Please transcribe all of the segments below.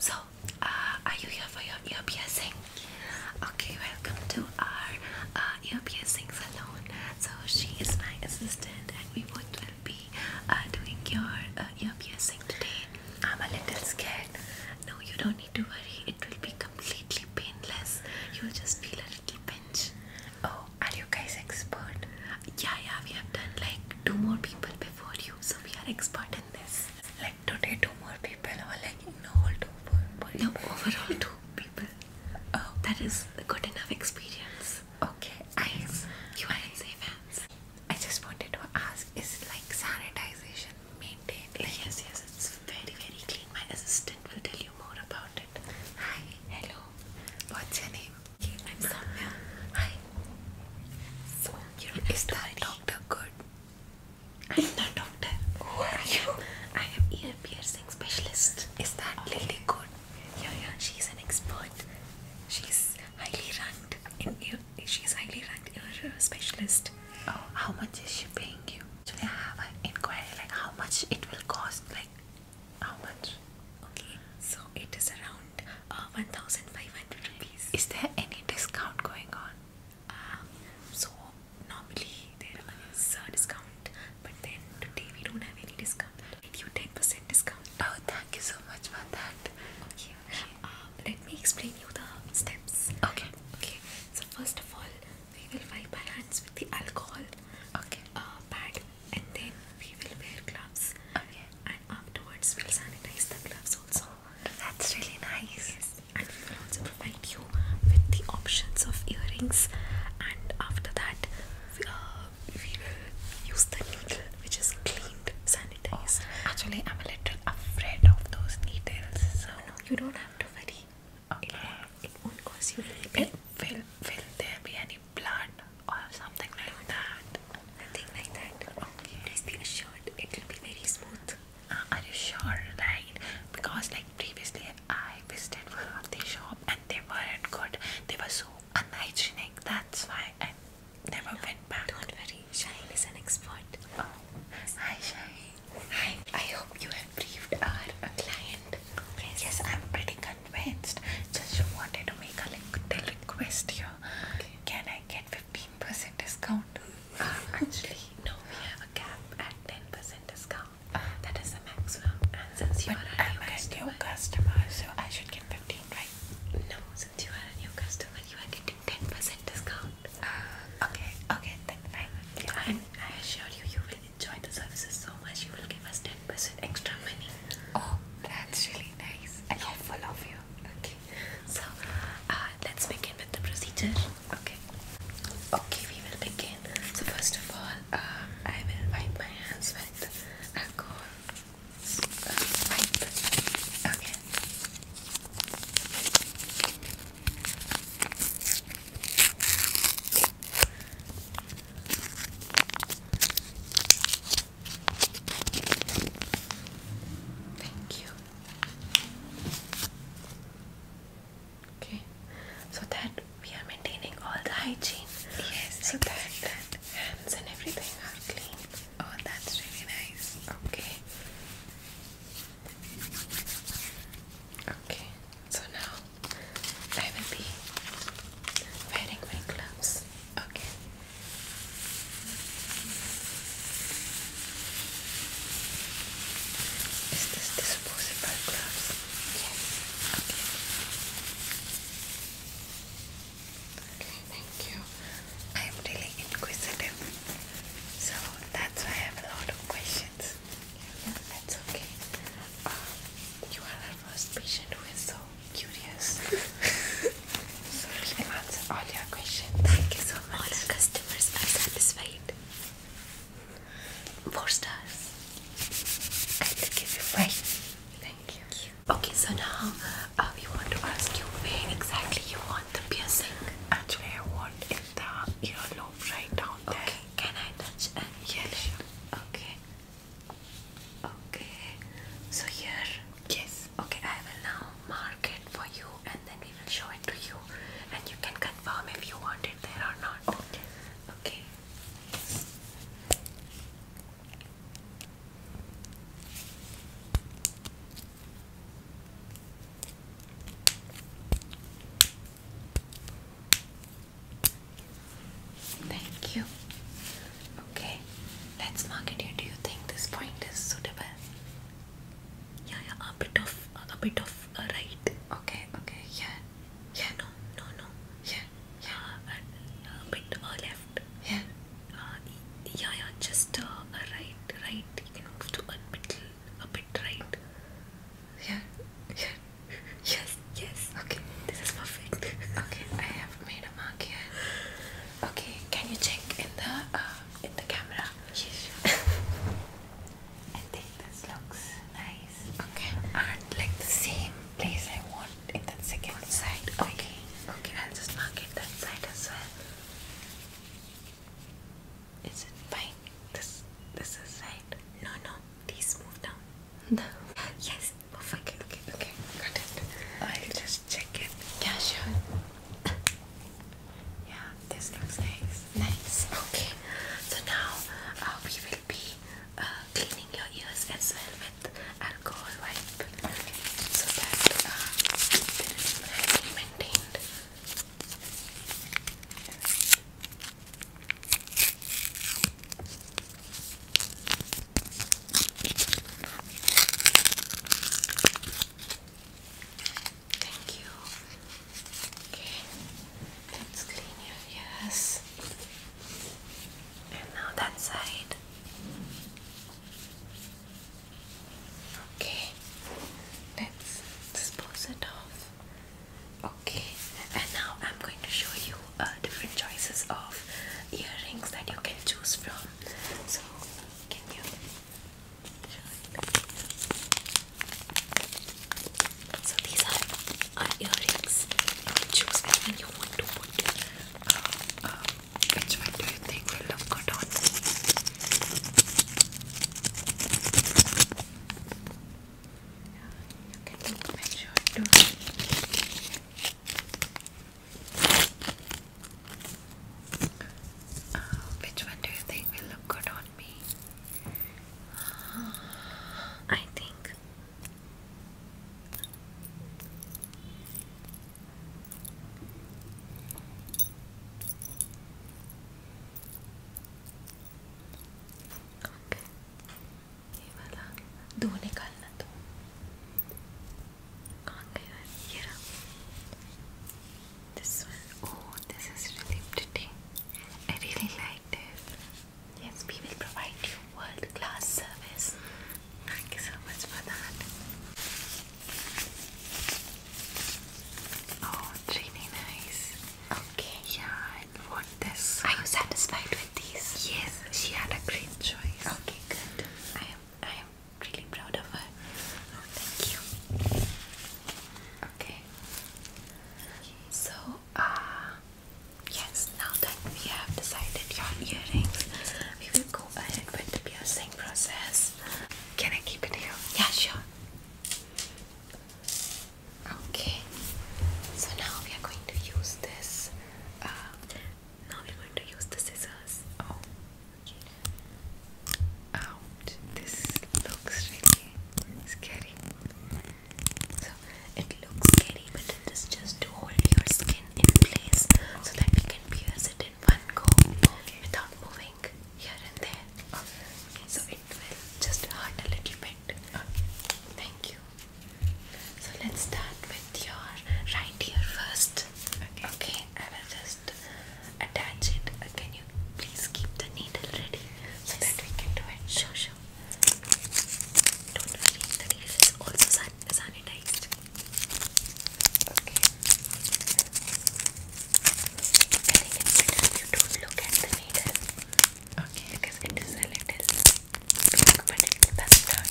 So, uh, are you here for your ear piercing? Okay, welcome to our uh, ear piercing salon. So, she is my assistant, and we both will be uh, doing your ear piercing today. I'm a little scared. No, you don't need to worry, it will be completely painless. You'll just feel a little pinch. Oh, are you guys expert? Yeah, yeah, we have done like two more people before you, so we are experts. Like today, two more people were like, no, two people. No, overall, two people. Oh. that is a good enough experience. Okay, I. You are in safe hands. I just wanted to ask: Is like sanitization maintained? yes, yes, it's very, very clean. My assistant will tell you more about it. Hi, hello. What's your name? I'm Samya. Hi, is that doctor good? I'm not doctor. Who are you? I am ear piercing specialist. Is that Lily good? Yeah, yeah. She's an expert. She's highly ranked in ear. She's highly ranked ear specialist. Oh, how much is she paying you? Do I have an inquiry like how much it will cost? Like how much? Okay, so it is around uh, 1500 rupees. Is there any discount going on? Um, so normally there is a discount, but then today we don't have any discount. Give you 10% discount. Oh, thank you so much for that. Okay. Um, let me explain you the steps. Okay. Okay. So first of all, we will wipe our hands with the alcohol. Okay. Uh, pad, and then we will wear gloves. Okay. And afterwards, we'll sanitize the gloves also. That's really nice. And we will also provide you with the options of earrings, and after that, uh, we will use the needle which is cleaned, sanitized. actually, I'm a little afraid of those needles, so no, you don't have to worry. Okay. It, it won't cause you any pain. Will, will there be any blood or something like that? nothing like that. Okay. Please be assured it will be very smooth. Uh, are you sure, right? Because like previously I visited one shop and they weren't good. They were so unhygienic. That's why I never went back. not worry, Shine is an expert. Oh. Hi, Shine. Hi. I hope you have briefed our client. Yes. I'm pretty convinced. Just wanted to make a little request here. Can I get 15% discount. Uh, actually, no, we have a cap at 10% discount. that is the maximum. And since you are a new, I'm customer, a new so I should get 15, right? No, since you are a new customer, you are getting 10% discount. Uh, okay, okay, then fine. I assure you, you will enjoy the services so much, you will give us 10% extra money. Oh, that's really nice. I am full of you. Okay, so uh, let's begin with the procedure. Okay, okay, we will begin. So first of all, um, I will wipe my hands with alcohol uh, wipe. Okay. Thank you. Okay, so that we are maintaining all the hygiene. Yes. So that, hands and everything are clean. Oh, that's really nice. Okay. Okay, so now I will be wearing my gloves. Okay. Is this disposable gloves? Yes. Okay. Okay, thank you. I'm really inquisitive, so that's why I have a lot of questions. Yeah, that's okay. Um, you are our first patient who is so curious. so we can answer all your questions. Thank you so much. customers are satisfied. Four stars. I will give you five. Thank you. Okay, so now uh, we want to ask you where exactly you want the piercing. Actually, I want in the earlobe right down there. Okay, can I touch and? Yes. Okay. Okay. So here. Yes, okay, I will now mark it for you and then we will show it to you and you can confirm if you want it there or not. Okay. Thank you. Okay, let's mark it here. Do you think this point is suitable? yeah, a bit of, a bit of right. Okay, okay, yeah, yeah, no, no, no, yeah, yeah, uh, and uh, a bit uh, left. Yeah, uh, yeah, yeah, just uh, a right, right. You can move to a bit, a bit right. Yeah, yeah, yes, yes. Okay, this is perfect. okay, I have made a mark here. Okay, can you check in the in the camera? Yes, I think this looks nice. Okay. And like the same place I want in that second side. Okay. okay. i just mark it that side as well. Is it fine? This this is No, no. These move down. No. Yes. Okay, okay, okay. Got it. I'll just check it. Yeah, sure. Yeah, this looks nice. Nice. Okay. So now uh, we will be uh, cleaning your ears as well with alcohol wipe, so that uh, there is nicely maintained. Thank you. Okay, let's clean your ears. And now that side. Okay, let's dispose it off. Okay, and now I'm going to show you uh, different choices of earrings that you can choose from. So, can you so these are our earrings. You can choose between you want to put. Uh, uh, which one do you think will look good on me? You can make sure to. Uh, which one do you think will look good on me? Uh, I think. Okay. ये वाला this one, oh, this is really pretty. I really like it. Yes, we will provide you world class service. Thank you so much for that. Oh, it's really nice. Okay. Yeah, I want this. Are you satisfied with these? Yes, she had a great choice. Okay, good. I am I am really proud of her. Oh, thank you. Okay. So, uh, yes, now that we have decided your earrings, we will go ahead with the piercing process. Can I keep it here? Yeah, sure. Okay, so now we are going to use this. Uh, now we're going to use the scissors. Oh, out. This looks really scary. So it looks scary, but it is just to hold your skin in place so that we can pierce it in one go without moving here and there. So it will just hurt a little bit. Okay. Thank you. So let's start with your right ear first. okay. I will just attach it. Uh, can you please keep the needle ready so that we can do it? Sure, sure. Don't worry, the needle also san sanitized. Okay. I think it's you don't look at the needle. Okay. Because it is a little big, but it does not all.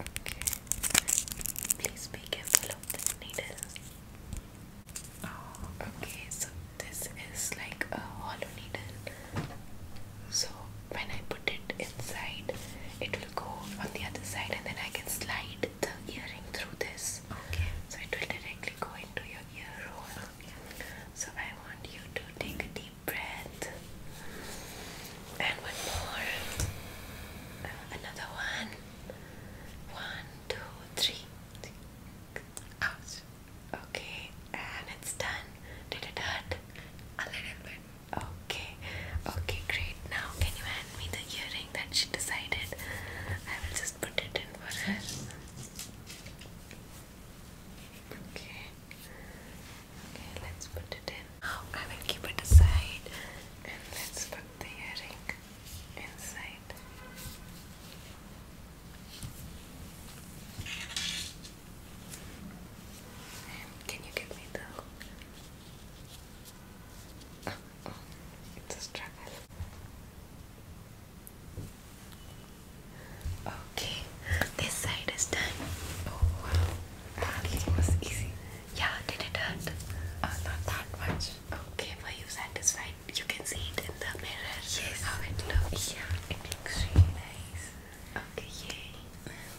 Okay. Please be careful of the needles. Oh, okay, so this is like a hollow needle. So when I put it inside, it will go on the other side, and then I can slide the earring through this. Okay. So it will directly go into your ear hole. So I want you to take a deep breath. And one more. Uh, another one, one, two, three, One, two, three. Okay. And it's done. Did it hurt? A little bit. Okay. Okay, great. Now, can you hand me the earring that she decided? I will just Okay. Okay, let's put it in. I will keep it aside and let's put the earring inside. can you give me the oh, oh it's a struggle. Okay, this side is done. Oh wow, ah, that was easy. Yeah, did it hurt? Uh, not that much. Okay, were you satisfied? You can see it in the mirror. Yes. How it looks. Yeah, it looks really nice. Okay, yay.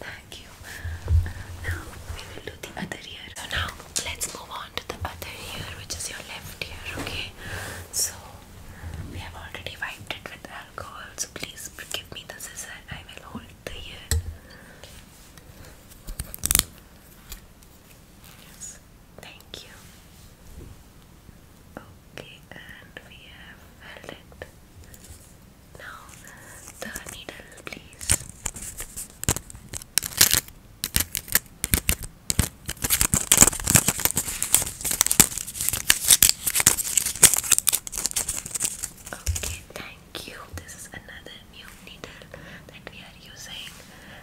Thank you. Uh, now we will do the other ear. So now let's move on to the other ear, which is your left ear, okay? So, we have already wiped it with alcohol, so please give me the scissor, I will hold the ear. Yes, thank you. Okay, and we have held it. Now, the needle, please. Okay, thank you. This is another new needle that we are using.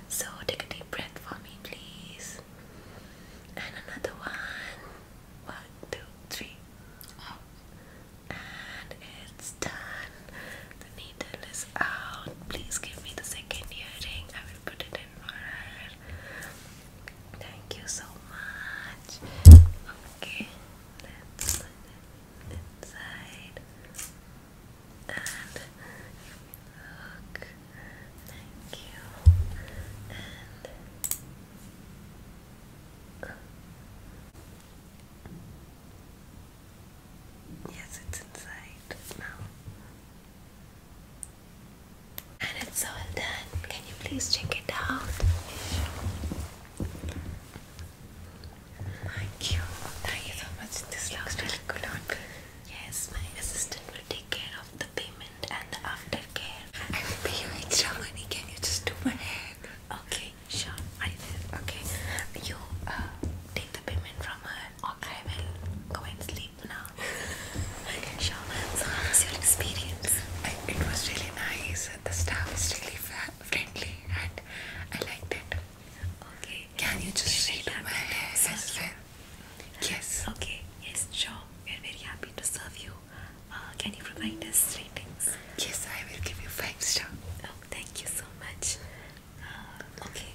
So take a deep breath for me, please. And another one. One, two, three. Out. And it's done. The needle is out. Please give me the second earring put it in for Thank you so much. Okay, let's inside. And look, thank you. Uh, yes, it's inside now. And it's all done. Can you please check it out? Thank you. Thank you so much. This looks really good on me. Yes, my assistant will take care of the payment and the aftercare. I will pay you extra money. Can you just do my hair? Okay, sure. I will. Okay. You uh, take the payment from her Okay, I will go and sleep now. sure. So how was your experience? I, it was really nice. The staff is really friendly and I liked it. Okay. Can you just read my hair as Yes. Okay. Yes, sure. We are very happy to serve you. Uh, can you provide us ratings? Yes, I will give you five star. Oh, thank you so much. Uh, okay.